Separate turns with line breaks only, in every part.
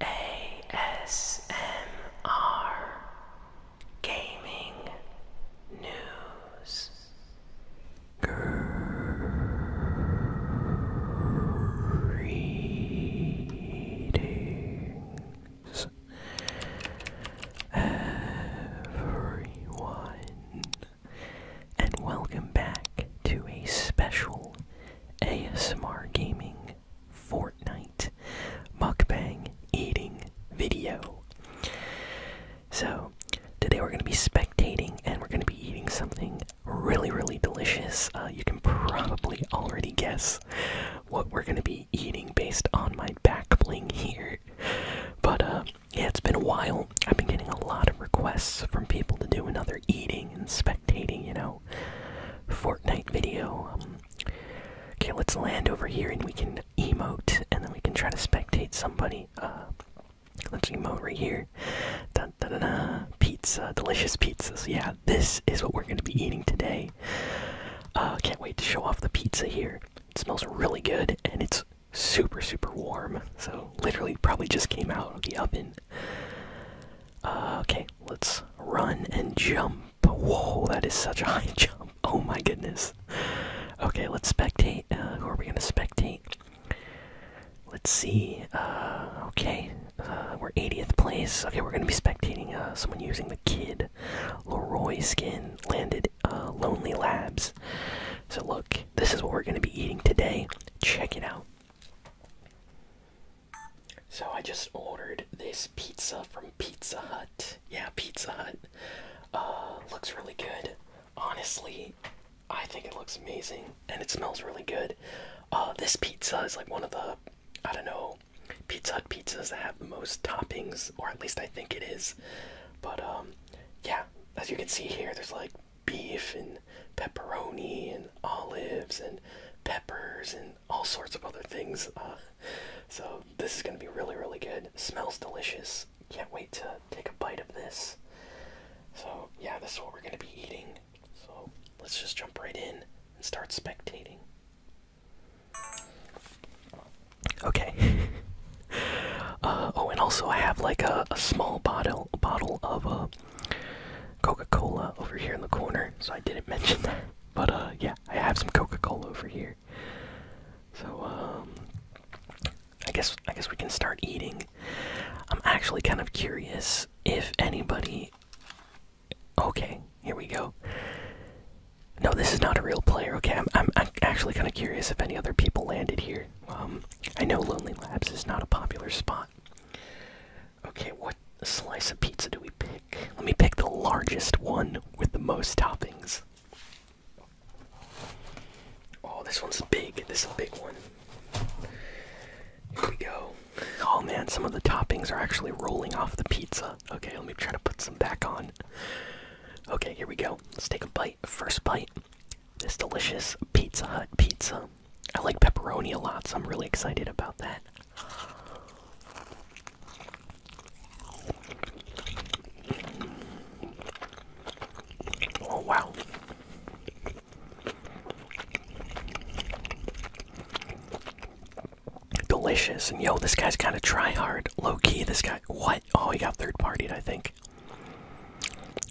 ASMR Gaming News. Greetings, everyone, and welcome back to a special ASMR gaming, Fortnite, mukbang, eating video. So, today we're going to be spectating and we're going to be eating something really, really delicious. Uh, you can probably already guess what we're going to be eating based on my back bling here. But, uh, yeah, it's been a while. I've been getting a lot of requests from people to do another eating and spectating, you know. Fortnite video. okay, let's land over here and we can emote, and then we can try to spectate somebody. Uh, let's emote right here. Dun, dun, dun, dun. Pizza, delicious pizzas. Yeah, this is what we're gonna be eating today. Uh, can't wait to show off the pizza here. It smells really good, and it's super super warm. So literally, probably just came out of the oven. Uh, okay, let's run and jump. Whoa, that is such a high jump. Oh my goodness. Okay, let's spectate. Uh, who are we gonna spectate? Let's see. Uh, okay, we're 80th place. Okay, we're gonna be spectating someone using the kid Leroy skin landed Lonely Labs. So look, this is what we're gonna be eating today. Check it out. So I just ordered this pizza from Pizza Hut. Yeah, Pizza Hut. Uh, looks really good. Honestly, I think it looks amazing and it smells really good. Uh, this pizza is like one of the, I don't know, Pizza Hut pizzas that have the most toppings, or at least I think it is. But um, yeah, as you can see here, there's like beef and pepperoni and olives and peppers and all sorts of other things. Uh, so this is going to be really, really good. Smells delicious. Can't wait to take a bite of this. So yeah, this is what we're going to be eating. So let's just jump right in and start spectating. Okay. Uh, oh, and also I have like a, a small bottle bottle of uh, Coca-Cola over here in the corner, so I didn't mention that. But uh, yeah, I have some Coca-Cola over here. So um, I guess I guess we can start eating. I'm actually kind of curious if anybody. Okay, here we go. No, this is not a real player. Okay, I'm actually kind of curious if any other people landed here. Um, I know Lonely Labs is not a popular spot. Okay, what slice of pizza do we pick? Let me pick the largest one with the most toppings. Oh, this one's big. This is a big one. Here we go. Oh man, some of the toppings are actually rolling off the pizza. Okay, let me try to put some back on. Okay, here we go. Let's take a bite. First bite. This delicious Pizza Hut pizza. I like pepperoni a lot, so I'm really excited about that. Oh, wow. Delicious. And yo, this guy's kind of to try hard. Low key, this guy. What? Oh, he got third partied, I think.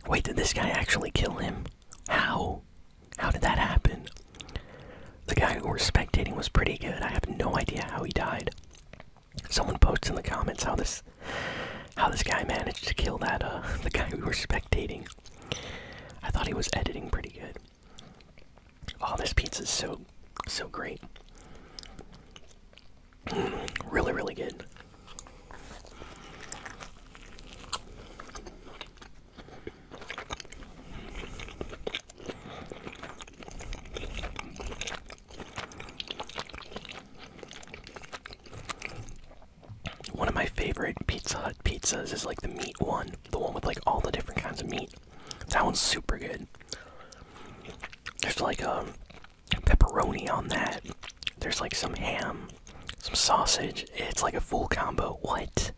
Wait, did this guy actually kill him? How? How did that happen? The guy who was spectating was pretty good. I have no idea how he died. Someone posts in the comments how this how this guy managed to kill that uh the guy we were spectating. I thought he was editing pretty good. Oh, this pizza is so so great. Mm, really, really good. One of my favorite Pizza Hut pizzas is like the meat one, the one with like all the different kinds of meat. That one's super good. There's like a um, pepperoni on that, there's like some ham, some sausage. It's like a full combo. What?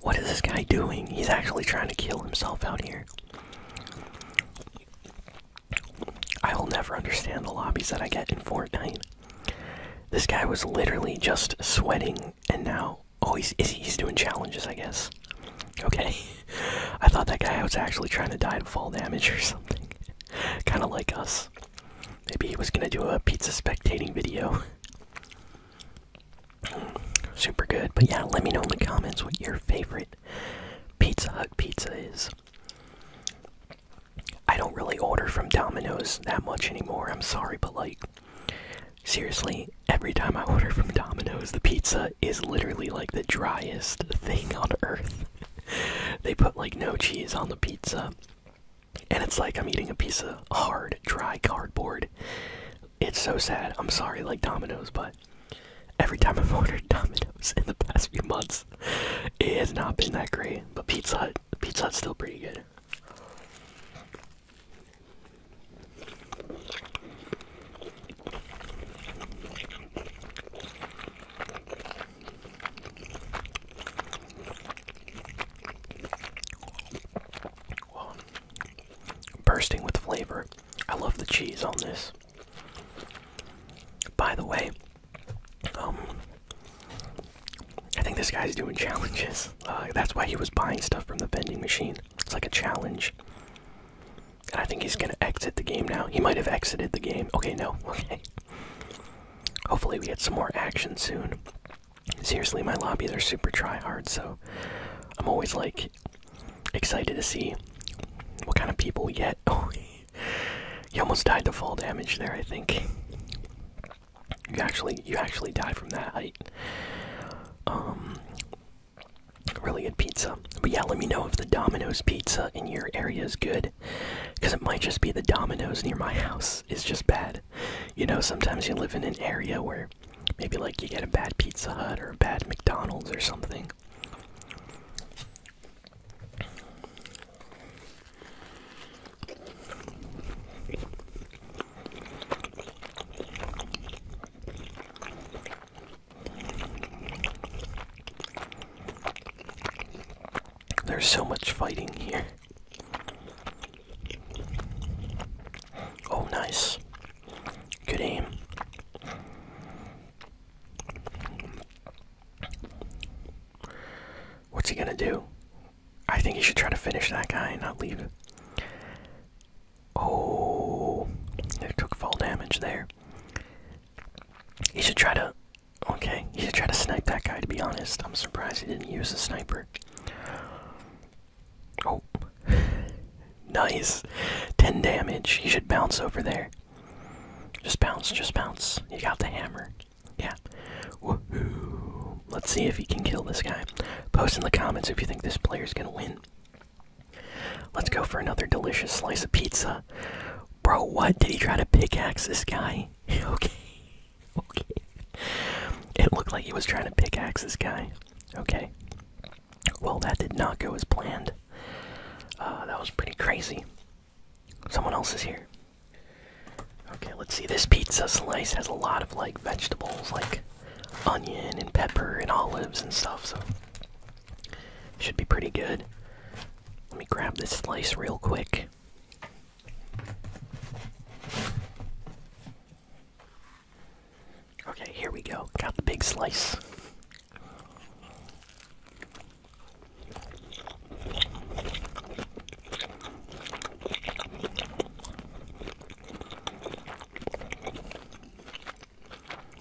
What is this guy doing? He's actually trying to kill himself out here. I will never understand the lobbies that I get in Fortnite. This guy was literally just sweating, and now oh, he's he's doing challenges, I guess. Okay, I thought that guy was actually trying to die to fall damage or something, kind of like us. Maybe he was gonna do a pizza spectating video. Hmm, super good. But yeah, let me know in the comments what your favorite Pizza Hut pizza is. I don't really order from Domino's that much anymore. I'm sorry, but like, seriously, every time I order from Domino's, the pizza is literally like the driest thing on earth. they put like no cheese on the pizza. And it's like I'm eating a piece of hard, dry cardboard. It's so sad. I'm sorry, like Domino's, but every time I've ordered Domino's in the past few months, it has not been that great. But Pizza Hut, Pizza Hut's still pretty good bursting with flavor. I love the cheese on this. By the way, um, I think this guy's doing challenges. Uh, that's why he was buying stuff from the vending machine. It's like a challenge. And I think he's gonna exit the game now. He might have exited the game. Okay, no. Okay. Hopefully, we get some more action soon. Seriously, my lobbies are super try hard, so I'm always like excited to see what kind of people we get. Oh, you almost died to fall damage there, I think. You actually, you actually die from that height. Um, really good pizza. But yeah, let me know if the Domino's pizza in your area is good. Because it might just be the Dominoes near my house is just bad. You know, sometimes you live in an area where maybe like you get a bad Pizza Hut or a bad McDonald's or something. There's so much fighting here. Oh, nice. Good aim. What's he gonna do? I think he should try to finish that guy and not leave. Oh, he took fall damage there. He should try to Okay, he should try to snipe that guy, to be honest. I'm surprised he didn't use a sniper. Oh. nice. 10 damage. He should bounce over there. Just bounce, just bounce. You got the hammer. Yeah. Woohoo. Let's see if he can kill this guy. Post in the comments if you think this player's gonna win. Let's go for another delicious slice of pizza. Bro, what? Did he try to pickaxe this guy? okay, okay. It looked like he was trying to pickaxe this guy. Okay. Well, that did not go as planned. Uh, that was pretty crazy. Someone else is here. Okay, let's see. This pizza slice has a lot of like vegetables, like onion and pepper and olives and stuff, so should be pretty good. Let me grab this slice real quick. Okay, here we go. Got the big slice.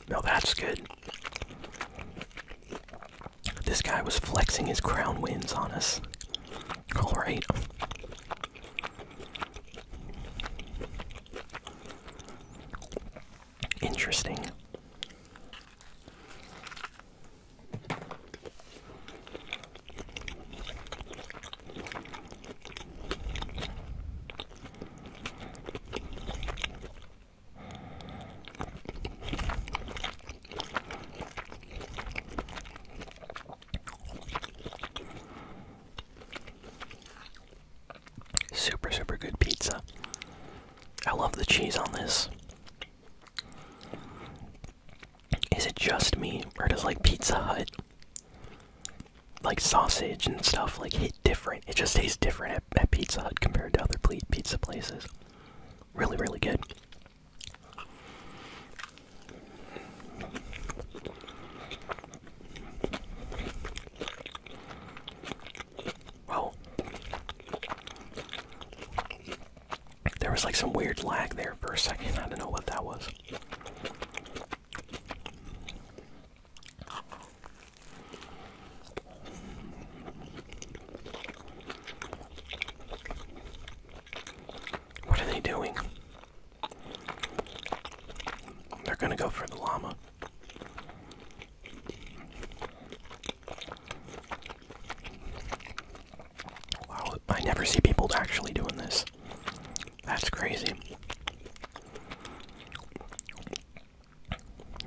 No, that's good. This guy was flexing his crown wins on us. Alright. Interesting. Super, super good pizza. I love the cheese on this. Is it just me, or does like Pizza Hut, like sausage and stuff, like hit different? It just tastes different at, at Pizza Hut compared to other pizza places. Really, really good. Well, there was like some weird lag there for a second. I don't know what that was. What are they doing? They're gonna go for the llama. Wow, I never see people actually doing this. That's crazy.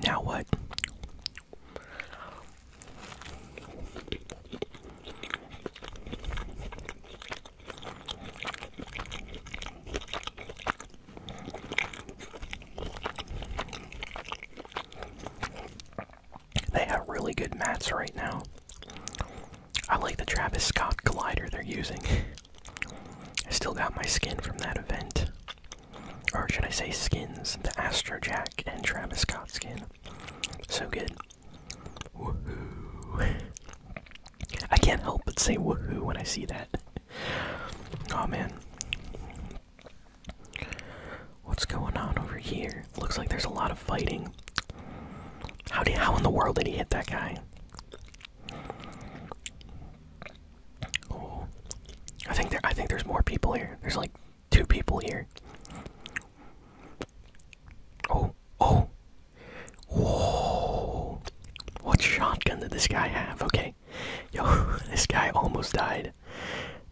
Now what? They have really good mats right now. I like the Travis Scott glider they're using. I still got my skin from that event. Or should I say skins? The Astro Jack and Travis Scott skin. So good. Woohoo. I can't help but say woohoo when I see that. Oh man. What's going on over here? Looks like there's a lot of fighting. How did how in the world did he hit that guy? I think there I think there's more people here. There's like two people here. Oh, oh. Whoa. What shotgun did this guy have? Okay. Yo, this guy almost died.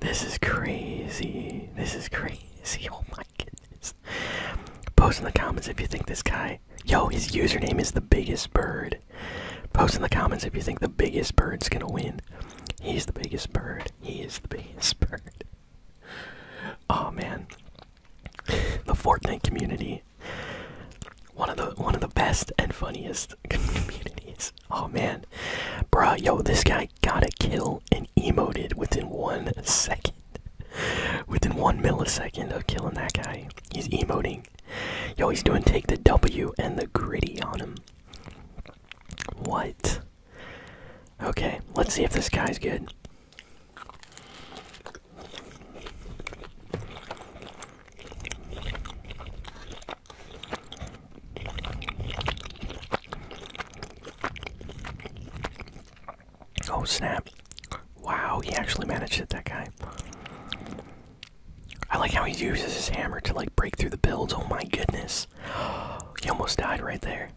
This is crazy. This is crazy. Oh my goodness. Post in the comments if you think this guy. Yo, his username is the biggest bird. Post in the comments if you think the biggest bird's gonna win. He's the biggest bird. He is the biggest bird. Oh man. The Fortnite community. One of the one of the best and funniest communities. Oh man. Bruh, yo, this guy got a kill and emoted within one second. Within one millisecond of killing that guy. He's emoting. Yo, he's doing take the W and the gritty on him. What? Okay, let's see if this guy's good. Oh snap. Wow, he actually managed it, that guy. I like how he uses his hammer to like break through the builds. Oh my goodness. He almost died right there.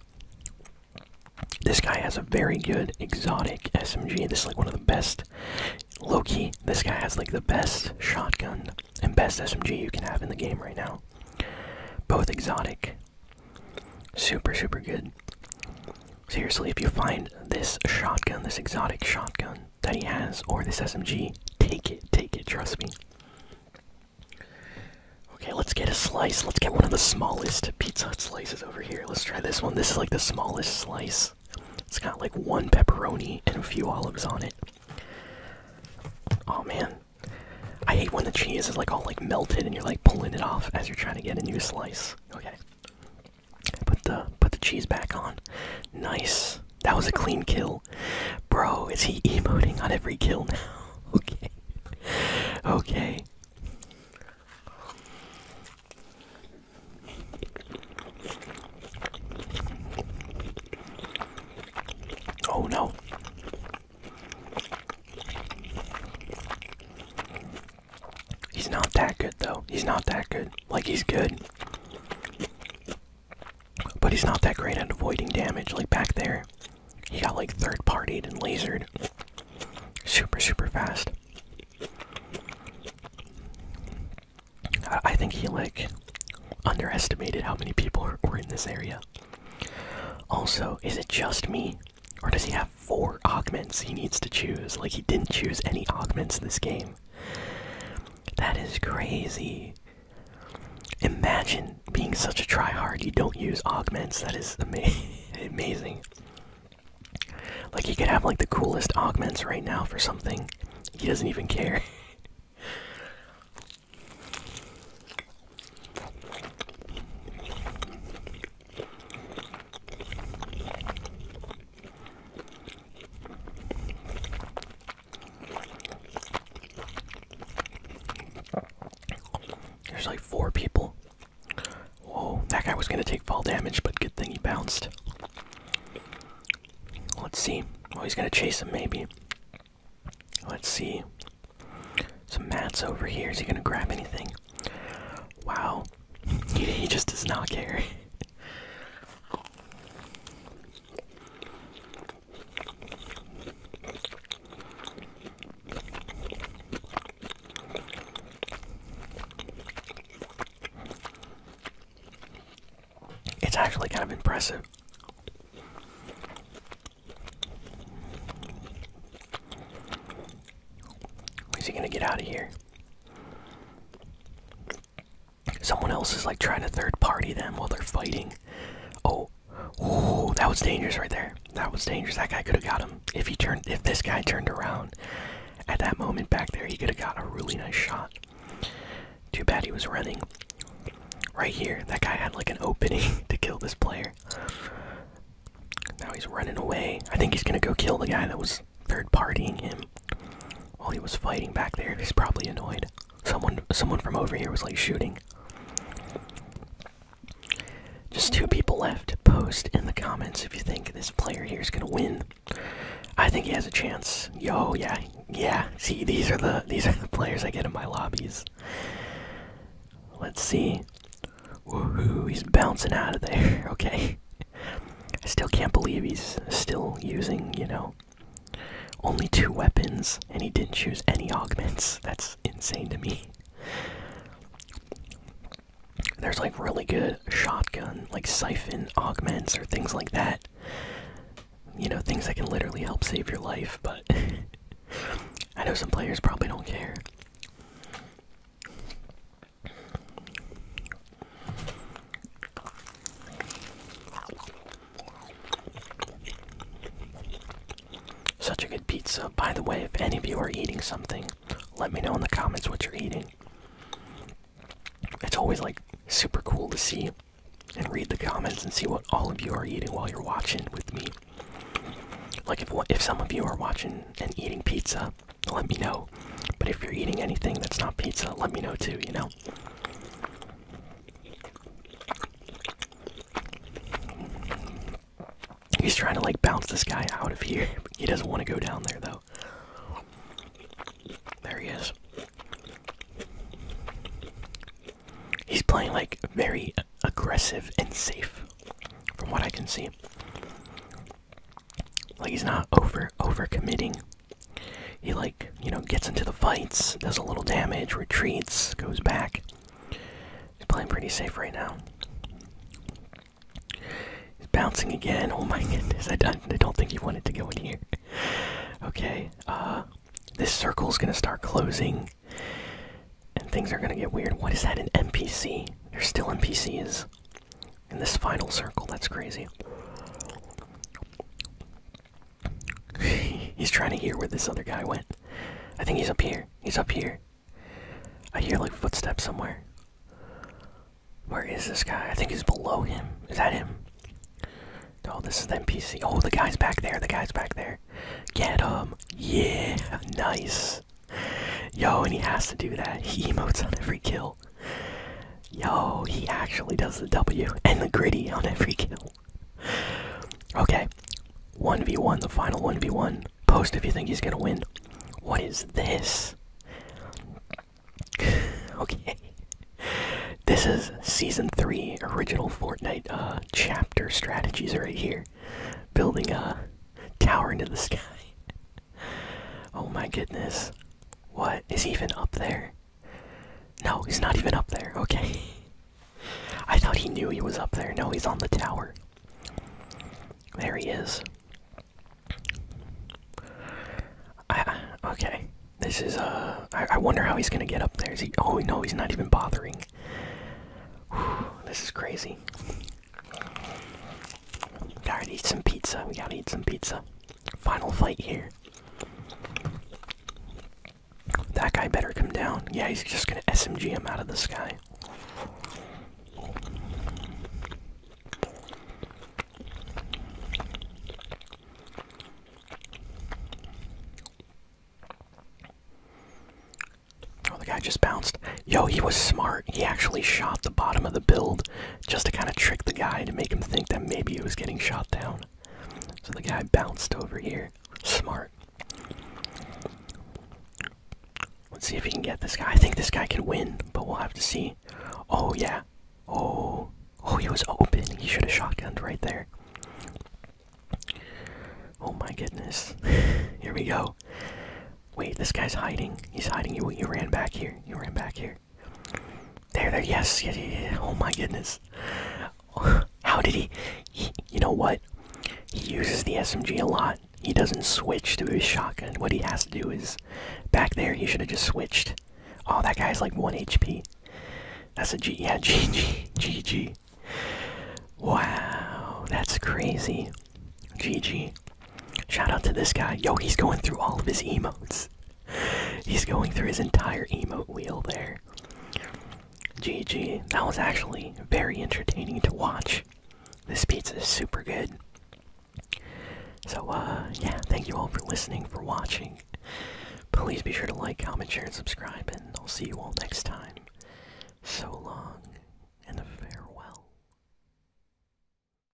This guy has a very good exotic SMG. This is like one of the best. Loki, this guy has like the best shotgun and best SMG you can have in the game right now. Both exotic. Super, super good. Seriously, if you find this shotgun, this exotic shotgun, that he has or this SMG. Take it, take it, trust me. Okay, let's get a slice. Let's get one of the smallest Pizza slices over here. Let's try this one. This is like the smallest slice. It's got like one pepperoni and a few olives on it. Oh man. I hate when the cheese is like all like melted and you're like pulling it off as you're trying to get a new slice. Okay. Put the put the cheese back on. Nice. That was a clean kill. Bro, is he emoting on every kill now? okay. Okay. Oh no. He's not that good though. He's not that good. Like he's good. But he's not that great at avoiding damage. Like back there, he got like third partied and lasered super, super fast. I, think he like underestimated how many people were in this area. Also, is it just me? Or does he have four augments he needs to choose? Like, he didn't choose any augments in this game. That is crazy. Imagine being such a tryhard you don't use augments. That is amazing. Like he could have like the coolest augments right now for something. He doesn't even care. There's like four people. Whoa, that guy was gonna take fall damage, but good thing he bounced. Let's see. Oh, he's gonna chase him, maybe. Let's see. Some mats over here. Is he gonna grab anything? Wow. he just does not care. It's actually kind of impressive. Is he going to get out of here? Someone else is like trying to third party them while they're fighting. Oh, ooh, that was dangerous right there. That was dangerous. That guy could have got him if he turned. If this guy turned around at that moment back there, he could have got a really nice shot. Too bad he was running. Right here, that guy had like an opening to kill this player. Now he's running away. I think he's gonna go kill the guy that was third partying him while he was fighting back there. He's probably annoyed. Someone someone from over here was like shooting. Just two people left. Post in the comments if you think this player here is gonna win. I think he has a chance. Yo, yeah, yeah. See, these are the these are the players I get in my lobbies. Let's see. Woohoo! He's bouncing out of there. Okay. I still can't believe he's still using, you know, only two weapons, and he didn't choose any augments. That's insane to me. There's like really good shotgun, like siphon augments or things like that. You know, things that can literally help save your life, but I know some players probably don't care. Such a good pizza. By the way, if any of you are eating something, let me know in the comments what you're eating. It's always like super cool to see and read the comments and see what all of you are eating while you're watching with me. Like if if some of you are watching and eating pizza, let me know. But if you're eating anything that's not pizza, let me know too, you know? He's trying to like bounce this guy out of here. He doesn't want to go down there though. There he is. He's playing like very aggressive and safe, from what I can see like he's not over over committing. He like you know gets into the fights, does a little damage, retreats, goes back. He's playing pretty safe right now. He's bouncing again. Oh my goodness! I don't, I don't think he wanted to go in here. okay, uh, this circle's gonna start closing, and things are gonna get weird. What is that? An NPC? They're still NPCs in this final circle. That's crazy. he's trying to hear where this other guy went. I think he's up here. He's up here. I hear like footsteps somewhere. Where is this guy? I think he's below him. Is that him? Oh, this is the NPC. Oh, the guy's back there. The guy's back there. Get him. Yeah. Nice. Yo, and he has to do that. He emotes on every kill. Yo, he actually does the W and the gritty on every kill. Okay, 1v1, the final 1v1. Post if you think he's gonna win. What is this? okay. This is Season 3 Original Fortnite uh, Chapter Strategies right here. Building a tower into the sky. oh my goodness. What is even up there? No, he's not even up there. Okay. I thought he knew he was up there. No, he's on the tower. There he is. I, okay. This is, a. Uh, I wonder how he's gonna get up there. Is he. Oh, no, he's not even bothering. this is crazy. Gotta eat some pizza. We gotta eat some pizza. Final fight here. That guy better come down. Yeah, he's just gonna SMG him out of the sky. Oh, the guy just bounced. Yo, he was smart. He actually shot the bottom of the build just to kind of trick the guy to make him think that maybe he was getting shot down. So the guy bounced over here. Smart. Let's see if he can get this guy. I think this guy can win, but we'll have to see. Oh, yeah. Oh. Oh, he was open. He should have shotgunned right there. Oh my goodness. here we go. Wait, this guy's hiding. He's hiding. You, you ran back here. You ran back here there. There, there, yes, Oh my goodness. How did he, You know what? He uses the SMG a lot. He doesn't switch to his shotgun. What he has to do is, back there, he should have just switched. Oh, that guy's like 1 HP. That's a G. Yeah, GG. GG. Wow, that's crazy. GG. Shout out to this guy. Yo, he's going through all of his emotes. He's going through his entire emote wheel there. GG. That was actually very entertaining to watch. This pizza is super good. So, uh, yeah, thank you all for listening, for watching. Please be sure to like, comment, share, and subscribe, and I'll see you all next time. So long, and farewell.